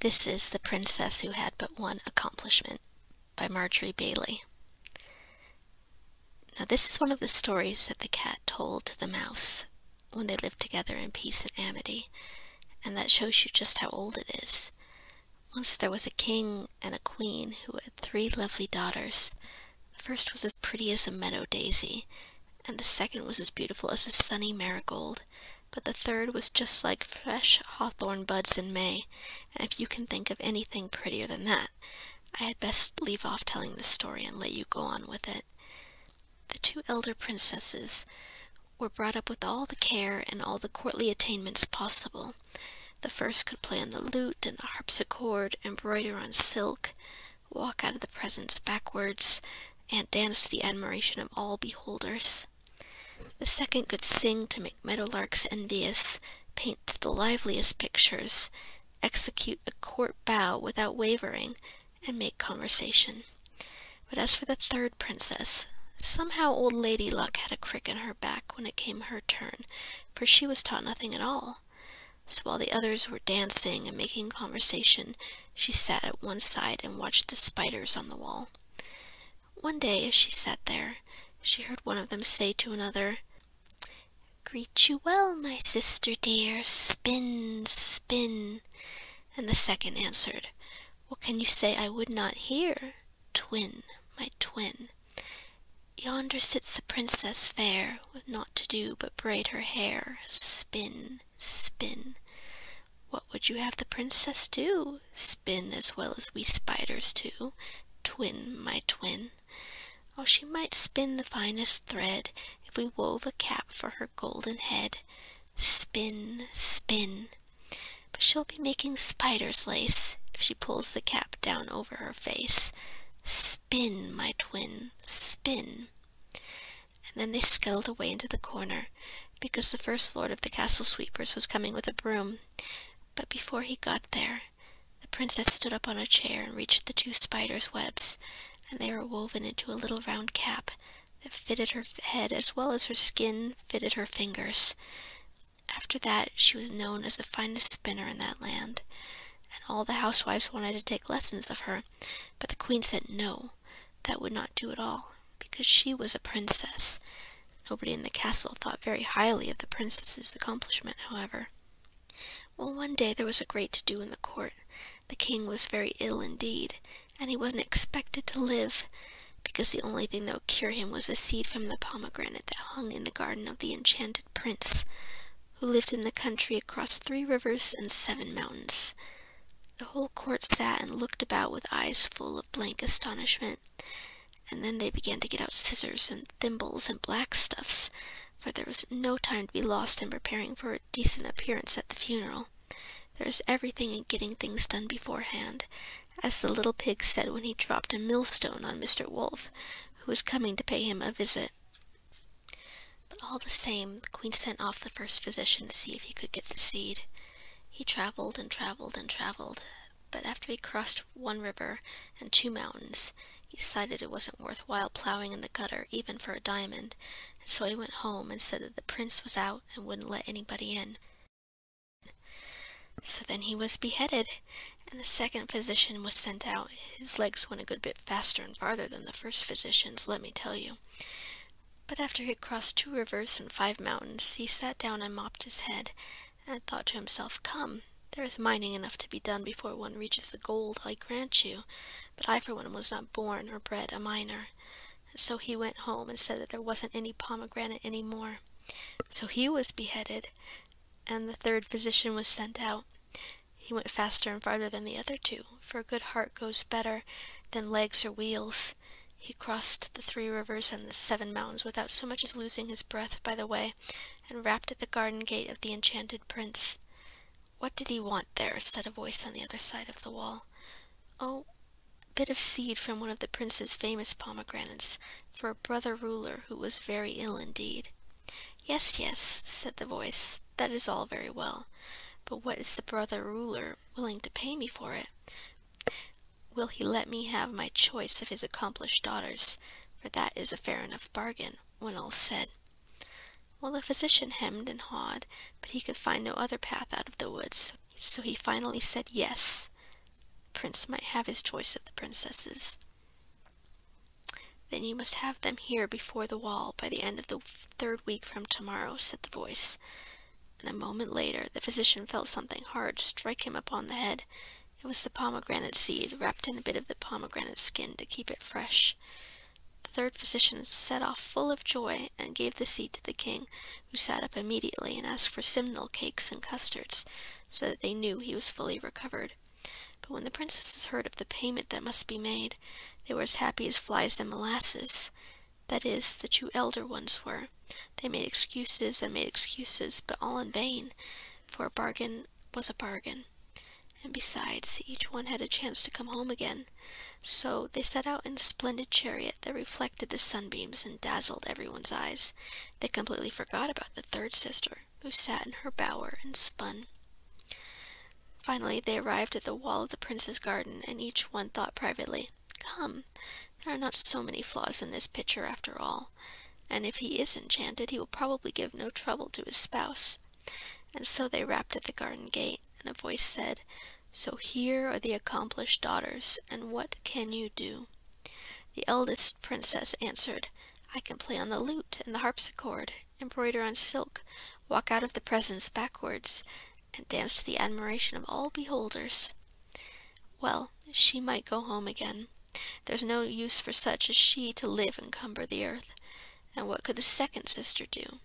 This is The Princess Who Had But One Accomplishment by Marjorie Bailey. Now, this is one of the stories that the cat told to the mouse when they lived together in peace and amity, and that shows you just how old it is. Once there was a king and a queen who had three lovely daughters. The first was as pretty as a meadow daisy, and the second was as beautiful as a sunny marigold, but the third was just like fresh hawthorn buds in May, and if you can think of anything prettier than that, I had best leave off telling the story and let you go on with it. The two elder princesses were brought up with all the care and all the courtly attainments possible. The first could play on the lute and the harpsichord, embroider on silk, walk out of the presence backwards, and dance to the admiration of all beholders. The second could sing to make meadow larks envious, paint the liveliest pictures, execute a court bow without wavering, and make conversation. But as for the third princess, somehow old Lady Luck had a crick in her back when it came her turn, for she was taught nothing at all. So while the others were dancing and making conversation, she sat at one side and watched the spiders on the wall. One day, as she sat there, she heard one of them say to another, Greet you well, my sister dear, spin, spin. And the second answered, What can you say I would not hear? Twin, my twin. Yonder sits a princess fair, with naught to do but braid her hair, spin, spin, What would you have the princess do? Spin as well as we spiders do. Twin, my twin. Oh, she might spin the finest thread if we wove a cap for her golden head. Spin, spin. But she'll be making spider's lace if she pulls the cap down over her face. Spin, my twin, spin and then they scuttled away into the corner, because the First Lord of the Castle Sweepers was coming with a broom. But before he got there, the princess stood up on a chair and reached the two spiders' webs, and they were woven into a little round cap that fitted her head as well as her skin fitted her fingers. After that, she was known as the finest spinner in that land, and all the housewives wanted to take lessons of her, but the queen said no, that would not do at all, because she was a princess. Nobody in the castle thought very highly of the princess's accomplishment, however. Well, one day there was a great to do in the court. The king was very ill indeed, and he wasn't expected to live, because the only thing that would cure him was a seed from the pomegranate that hung in the garden of the enchanted prince, who lived in the country across three rivers and seven mountains. The whole court sat and looked about with eyes full of blank astonishment, and then they began to get out scissors and thimbles and black stuffs, for there was no time to be lost in preparing for a decent appearance at the funeral. There is everything in getting things done beforehand, as the little pig said when he dropped a millstone on Mr. Wolf, who was coming to pay him a visit. But all the same, the queen sent off the first physician to see if he could get the seed. He traveled and traveled and traveled, but after he crossed one river and two mountains, he decided it wasn't worth while plowing in the gutter even for a diamond, and so he went home and said that the prince was out and wouldn't let anybody in. So then he was beheaded, and the second physician was sent out. His legs went a good bit faster and farther than the first physician's, let me tell you. But after he had crossed two rivers and five mountains, he sat down and mopped his head, and thought to himself, Come, there is mining enough to be done before one reaches the gold, I grant you, but I for one was not born or bred a miner. So he went home and said that there wasn't any pomegranate any more. So he was beheaded, and the third physician was sent out. He went faster and farther than the other two, for a good heart goes better than legs or wheels. He crossed the three rivers and the seven mountains without so much as losing his breath by the way, and rapped at the garden gate of the enchanted prince. What did he want there? said a voice on the other side of the wall. Oh, a bit of seed from one of the prince's famous pomegranates, for a brother ruler who was very ill indeed. Yes, yes, said the voice, that is all very well. But what is the brother ruler willing to pay me for it? Will he let me have my choice of his accomplished daughters? For that is a fair enough bargain, when all's said. Well, the physician hemmed and hawed, but he could find no other path out of the woods, so he finally said yes. The prince might have his choice of the princesses. Then you must have them here before the wall by the end of the third week from tomorrow, said the voice and a moment later the physician felt something hard strike him upon the head. It was the pomegranate seed, wrapped in a bit of the pomegranate skin to keep it fresh. The third physician set off full of joy, and gave the seed to the king, who sat up immediately and asked for simnel cakes and custards, so that they knew he was fully recovered. But when the princesses heard of the payment that must be made, they were as happy as flies in molasses that is, the two elder ones were. They made excuses and made excuses, but all in vain, for a bargain was a bargain. And besides, each one had a chance to come home again. So they set out in a splendid chariot that reflected the sunbeams and dazzled everyone's eyes. They completely forgot about the third sister, who sat in her bower and spun. Finally, they arrived at the wall of the prince's garden, and each one thought privately, Come, there are not so many flaws in this picture after all, and if he is enchanted, he will probably give no trouble to his spouse. And so they rapped at the garden gate, and a voice said, So here are the accomplished daughters, and what can you do? The eldest princess answered, I can play on the lute and the harpsichord, embroider on silk, walk out of the presence backwards, and danced to the admiration of all beholders. Well, she might go home again. There's no use for such as she to live and cumber the earth. And what could the second sister do?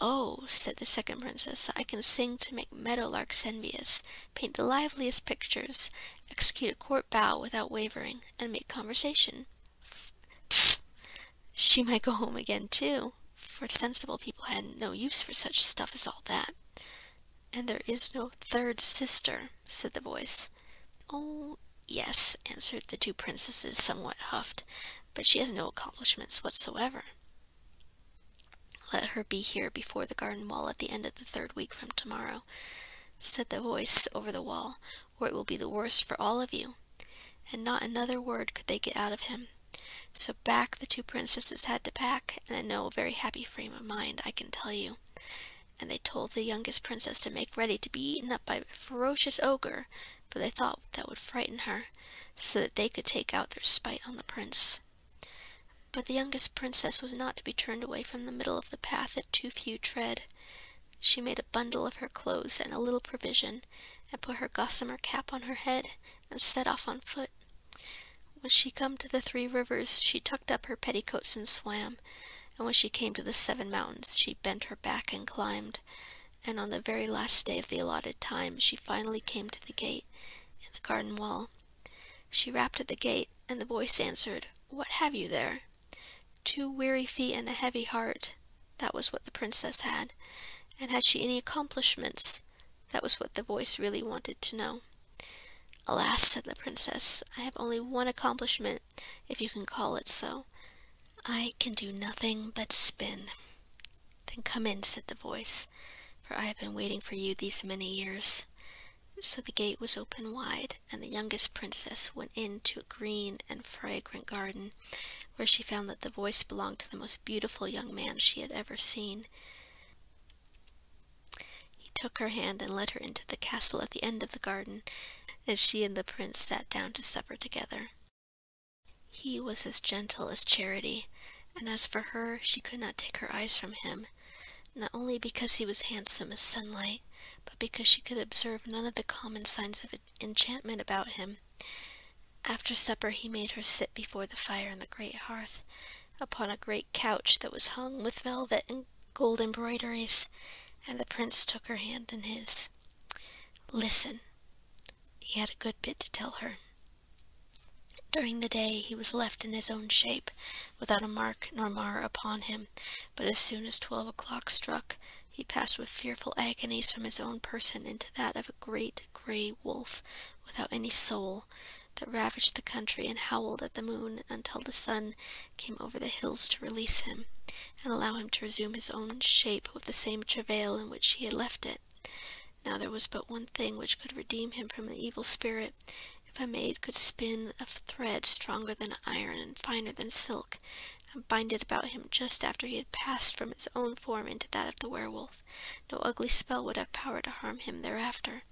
Oh, said the second princess, I can sing to make meadow larks envious, paint the liveliest pictures, execute a court bow without wavering, and make conversation. She might go home again, too, for sensible people had no use for such stuff as all that. And there is no third sister, said the voice. Oh, yes, answered the two princesses, somewhat huffed, but she has no accomplishments whatsoever. Let her be here before the garden wall at the end of the third week from tomorrow, said the voice over the wall, or it will be the worse for all of you. And not another word could they get out of him, so back the two princesses had to pack, and in no very happy frame of mind, I can tell you. And they told the youngest princess to make ready to be eaten up by a ferocious ogre, for they thought that would frighten her, so that they could take out their spite on the prince. But the youngest princess was not to be turned away from the middle of the path that too few tread. She made a bundle of her clothes and a little provision, and put her gossamer cap on her head, and set off on foot. When she came to the three rivers, she tucked up her petticoats and swam, and when she came to the seven mountains, she bent her back and climbed, and on the very last day of the allotted time, she finally came to the gate in the garden wall. She rapped at the gate, and the voice answered, What have you there? Two weary feet and a heavy heart. That was what the princess had. And had she any accomplishments? That was what the voice really wanted to know. Alas, said the princess, I have only one accomplishment, if you can call it so. I can do nothing but spin. Then come in, said the voice, for I have been waiting for you these many years. So the gate was opened wide, and the youngest princess went into a green and fragrant garden, where she found that the voice belonged to the most beautiful young man she had ever seen. He took her hand and led her into the castle at the end of the garden, and she and the prince sat down to supper together. He was as gentle as charity, and as for her, she could not take her eyes from him, not only because he was handsome as sunlight, but because she could observe none of the common signs of enchantment about him, after supper he made her sit before the fire in the great hearth, upon a great couch that was hung with velvet and gold embroideries, and the prince took her hand in his. Listen. He had a good bit to tell her. During the day he was left in his own shape, without a mark nor mar upon him, but as soon as twelve o'clock struck, he passed with fearful agonies from his own person into that of a great grey wolf, without any soul, that ravaged the country and howled at the moon until the sun came over the hills to release him, and allow him to resume his own shape with the same travail in which he had left it. Now there was but one thing which could redeem him from the evil spirit, if a maid could spin a thread stronger than iron and finer than silk, and bind it about him just after he had passed from his own form into that of the werewolf. No ugly spell would have power to harm him thereafter.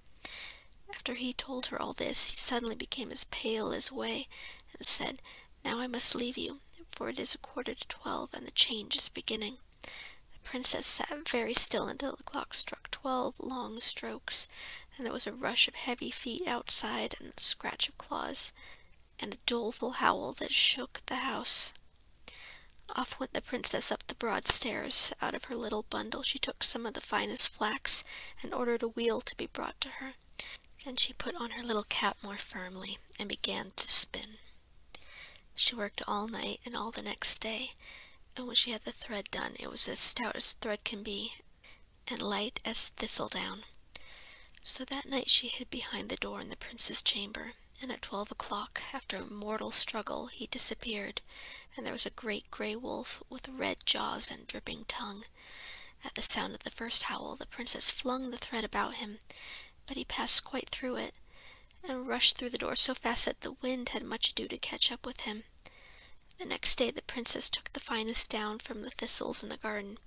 After he told her all this, he suddenly became as pale as way, and said, Now I must leave you, for it is a quarter to twelve, and the change is beginning. The princess sat very still until the clock struck twelve long strokes, and there was a rush of heavy feet outside, and a scratch of claws, and a doleful howl that shook the house. Off went the princess up the broad stairs. Out of her little bundle she took some of the finest flax, and ordered a wheel to be brought to her. Then she put on her little cap more firmly, and began to spin. She worked all night and all the next day, and when she had the thread done, it was as stout as thread can be, and light as thistledown. So that night she hid behind the door in the prince's chamber, and at twelve o'clock, after a mortal struggle, he disappeared, and there was a great grey wolf with red jaws and dripping tongue. At the sound of the first howl, the princess flung the thread about him, but he passed quite through it, and rushed through the door so fast that the wind had much ado to catch up with him. The next day the princess took the finest down from the thistles in the garden.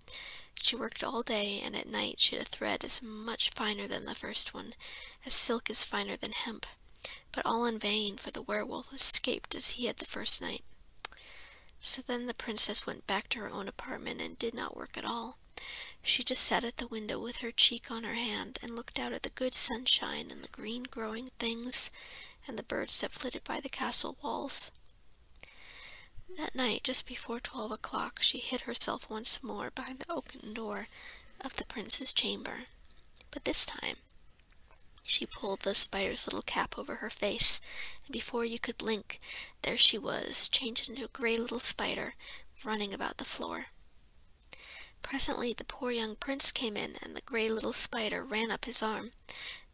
She worked all day, and at night she had a thread as much finer than the first one, as silk is finer than hemp, but all in vain, for the werewolf escaped as he had the first night. So then the princess went back to her own apartment and did not work at all. She just sat at the window with her cheek on her hand and looked out at the good sunshine and the green growing things and the birds that flitted by the castle walls. That night, just before twelve o'clock, she hid herself once more behind the oaken door of the prince's chamber, but this time she pulled the spider's little cap over her face, and before you could blink, there she was, changed into a grey little spider, running about the floor. Presently the poor young prince came in, and the grey little spider ran up his arm.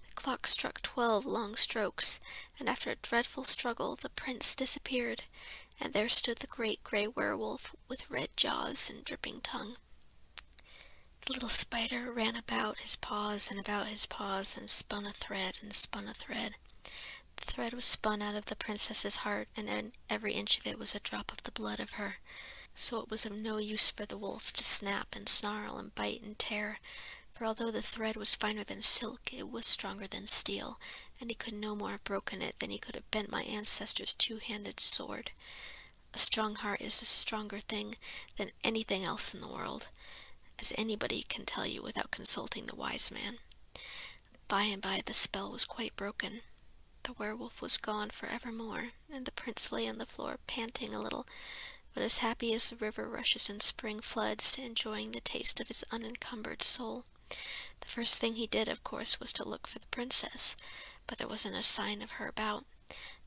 The clock struck twelve long strokes, and after a dreadful struggle the prince disappeared, and there stood the great grey werewolf with red jaws and dripping tongue. The little spider ran about his paws and about his paws and spun a thread and spun a thread. The thread was spun out of the princess's heart, and every inch of it was a drop of the blood of her. So it was of no use for the wolf to snap and snarl and bite and tear, for although the thread was finer than silk, it was stronger than steel, and he could no more have broken it than he could have bent my ancestor's two-handed sword. A strong heart is a stronger thing than anything else in the world, as anybody can tell you without consulting the wise man. By and by the spell was quite broken. The werewolf was gone for evermore, and the prince lay on the floor panting a little, but as happy as the river rushes in spring floods, enjoying the taste of his unencumbered soul. The first thing he did, of course, was to look for the princess, but there wasn't a sign of her about.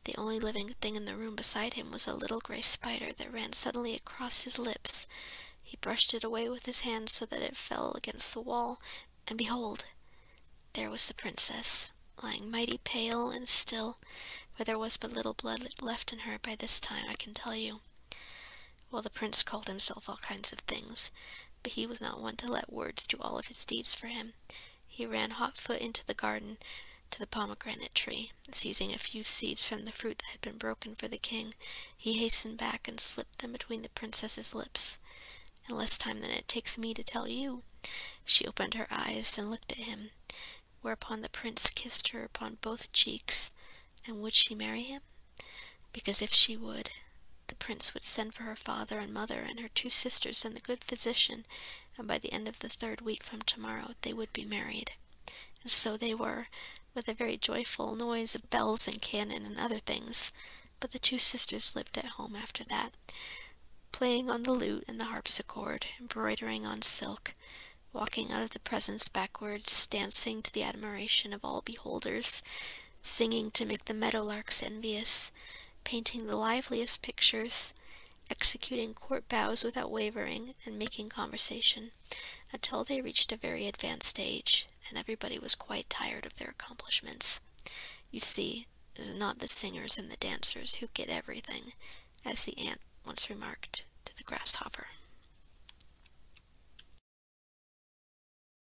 The only living thing in the room beside him was a little gray spider that ran suddenly across his lips. He brushed it away with his hand so that it fell against the wall, and behold, there was the princess, lying mighty pale and still, for there was but little blood left in her by this time, I can tell you. While the prince called himself all kinds of things, but he was not one to let words do all of his deeds for him. He ran hot foot into the garden to the pomegranate tree, seizing a few seeds from the fruit that had been broken for the king, he hastened back and slipped them between the princess's lips. In less time than it takes me to tell you, she opened her eyes and looked at him, whereupon the prince kissed her upon both cheeks. And would she marry him? because if she would, the prince would send for her father and mother and her two sisters and the good physician, and by the end of the third week from tomorrow they would be married. And so they were, with a very joyful noise of bells and cannon and other things, but the two sisters lived at home after that, playing on the lute and the harpsichord, embroidering on silk, walking out of the presence backwards, dancing to the admiration of all beholders, singing to make the meadow larks envious, painting the liveliest pictures, executing court bows without wavering, and making conversation, until they reached a very advanced stage, and everybody was quite tired of their accomplishments. You see, it is not the singers and the dancers who get everything, as the ant once remarked to the grasshopper.